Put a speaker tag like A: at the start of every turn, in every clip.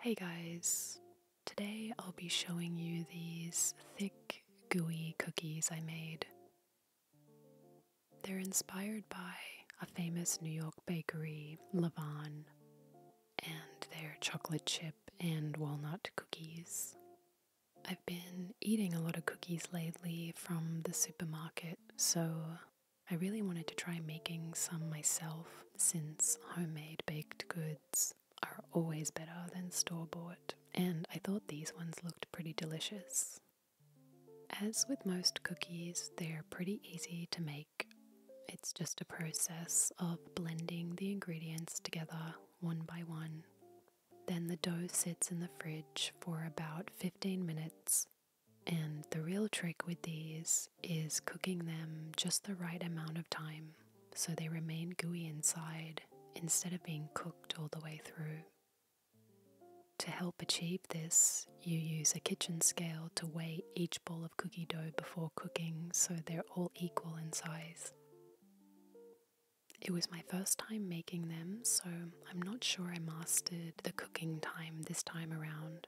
A: Hey guys, today I'll be showing you these thick, gooey cookies I made. They're inspired by a famous New York bakery, Lavan, and their chocolate chip and walnut cookies. I've been eating a lot of cookies lately from the supermarket, so I really wanted to try making some myself since homemade baked goods are always better than store bought, and I thought these ones looked pretty delicious. As with most cookies, they're pretty easy to make. It's just a process of blending the ingredients together one by one. Then the dough sits in the fridge for about 15 minutes. And the real trick with these is cooking them just the right amount of time so they remain gooey inside instead of being cooked all the way through. To help achieve this, you use a kitchen scale to weigh each ball of cookie dough before cooking so they're all equal in size. It was my first time making them, so I'm not sure I mastered the cooking time this time around,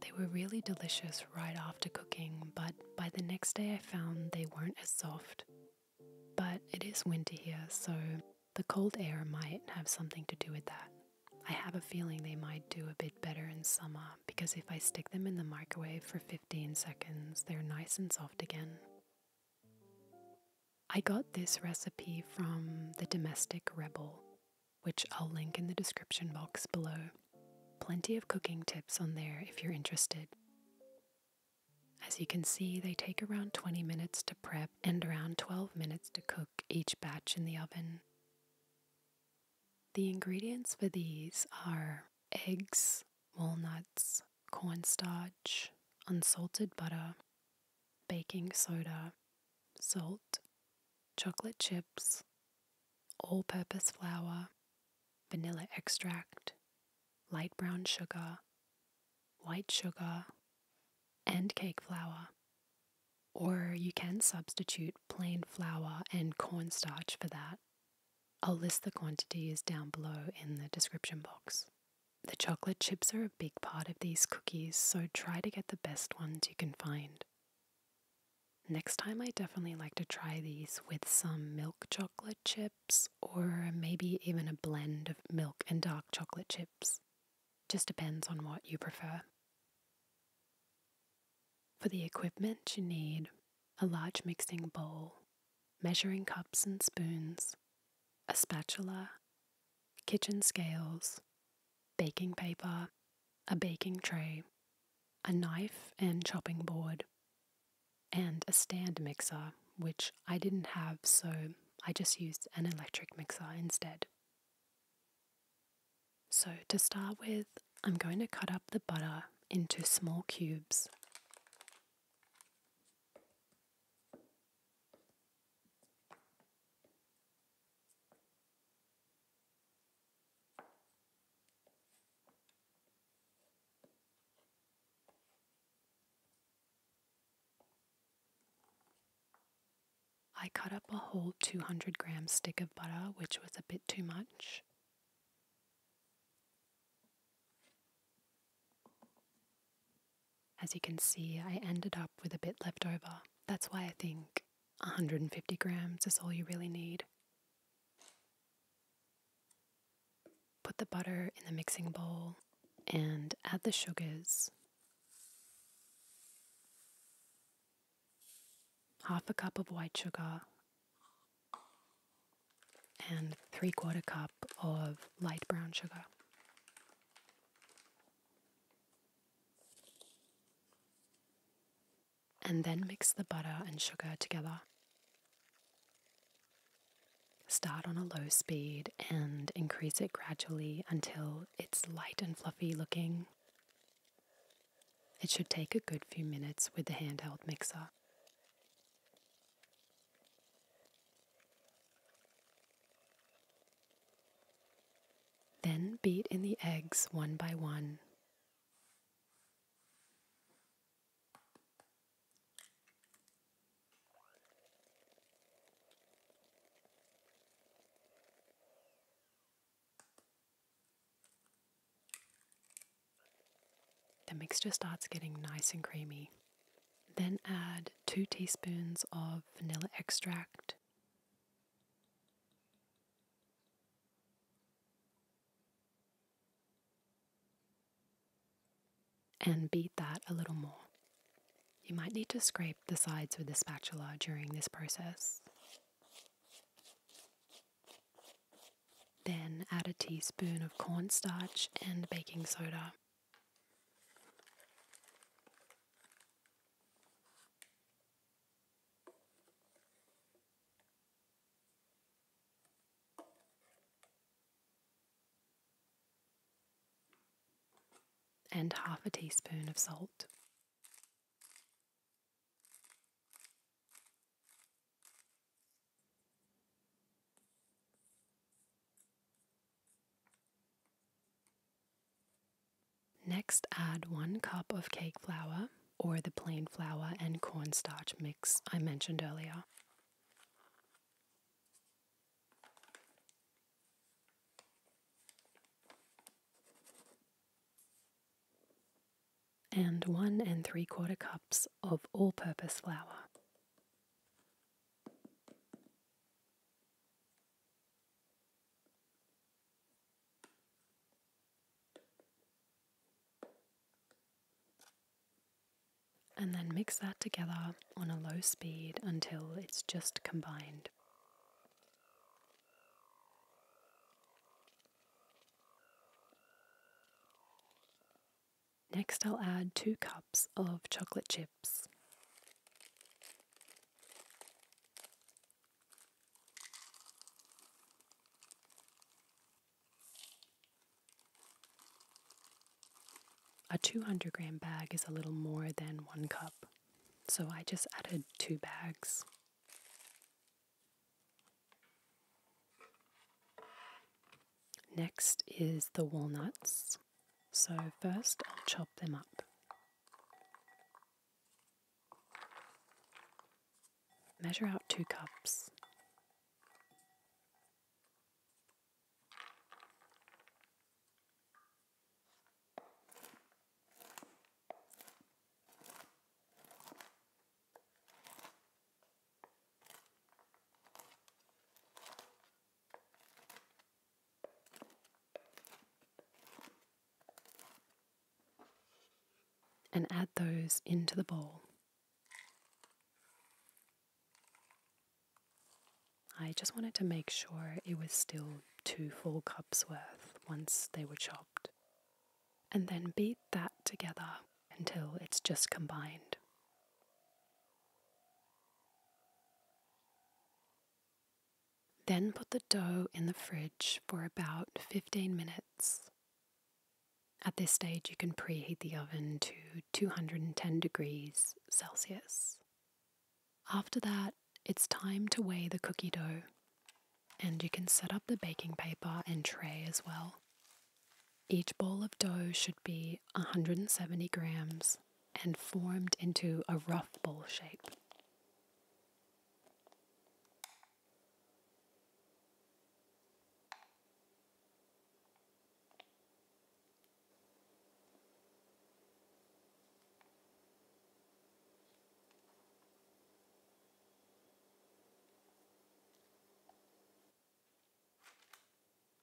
A: they were really delicious right after cooking, but by the next day I found they weren't as soft. But it is winter here, so the cold air might have something to do with that. I have a feeling they might do a bit better in summer because if I stick them in the microwave for 15 seconds, they're nice and soft again. I got this recipe from The Domestic Rebel which I'll link in the description box below. Plenty of cooking tips on there if you're interested. As you can see, they take around 20 minutes to prep and around 12 minutes to cook each batch in the oven. The ingredients for these are eggs, walnuts, cornstarch, unsalted butter, baking soda, salt, chocolate chips, all purpose flour, vanilla extract, light brown sugar, white sugar, and cake flour. Or you can substitute plain flour and cornstarch for that. I'll list the quantities down below in the description box. The chocolate chips are a big part of these cookies, so try to get the best ones you can find. Next time, I definitely like to try these with some milk chocolate chips or maybe even a blend of milk and dark chocolate chips. Just depends on what you prefer. For the equipment, you need a large mixing bowl, measuring cups and spoons, a spatula, kitchen scales, baking paper, a baking tray, a knife and chopping board, and a stand mixer, which I didn't have, so I just used an electric mixer instead. So, to start with, I'm going to cut up the butter into small cubes. I cut up a whole 200 gram stick of butter, which was a bit too much. As you can see, I ended up with a bit left over. That's why I think 150 grams is all you really need. Put the butter in the mixing bowl and add the sugars. Half a cup of white sugar and three quarter cup of light brown sugar. And then mix the butter and sugar together. Start on a low speed and increase it gradually until it's light and fluffy looking. It should take a good few minutes with the handheld mixer. Then beat in the eggs one by one. The mixture starts getting nice and creamy. Then add 2 teaspoons of vanilla extract, and beat that a little more. You might need to scrape the sides with a spatula during this process. Then add a teaspoon of cornstarch and baking soda and half a teaspoon of salt. Next, add one cup of cake flour or the plain flour and cornstarch mix I mentioned earlier. And one and three quarter cups of all purpose flour. And then mix that together on a low speed until it's just combined. Next, I'll add two cups of chocolate chips. A 200 gram bag is a little more than one cup, so I just added two bags. Next is the walnuts. So, first I'll chop them up. Measure out two cups and add those into the bowl. I just wanted to make sure it was still two full cups worth once they were chopped. And then beat that together until it's just combined. Then put the dough in the fridge for about 15 minutes. At this stage, you can preheat the oven to 210 degrees Celsius. After that, it's time to weigh the cookie dough, and you can set up the baking paper and tray as well. Each ball of dough should be 170 grams and formed into a rough ball shape.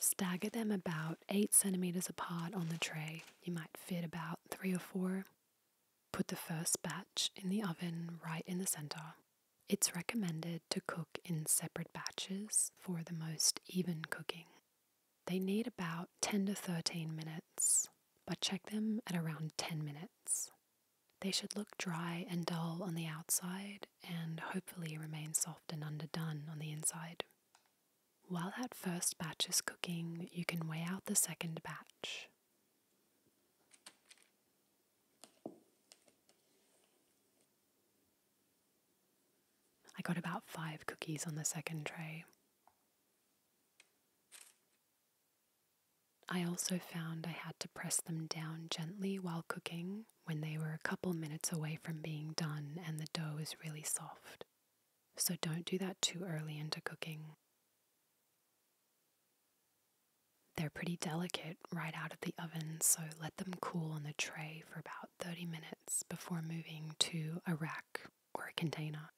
A: Stagger them about 8 centimeters apart on the tray. You might fit about 3 or 4 Put the first batch in the oven right in the center. It's recommended to cook in separate batches for the most even cooking. They need about 10 to 13 minutes, but check them at around 10 minutes. They should look dry and dull on the outside and hopefully remain soft and underdone on the inside. While that first batch is cooking, you can weigh out the second batch. I got about five cookies on the second tray. I also found I had to press them down gently while cooking when they were a couple minutes away from being done and the dough was really soft so don't do that too early into cooking. They're pretty delicate right out of the oven, so let them cool on the tray for about 30 minutes before moving to a rack or a container.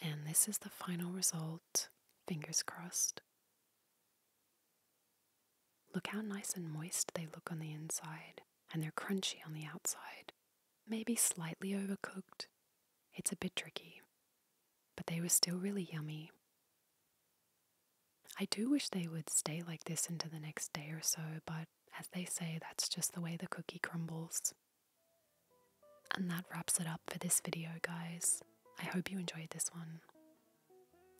A: And this is the final result, fingers crossed. Look how nice and moist they look on the inside, and they're crunchy on the outside. Maybe slightly overcooked. It's a bit tricky, but they were still really yummy. I do wish they would stay like this into the next day or so, but as they say, that's just the way the cookie crumbles. And that wraps it up for this video, guys. I hope you enjoyed this one.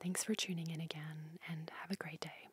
A: Thanks for tuning in again, and have a great day.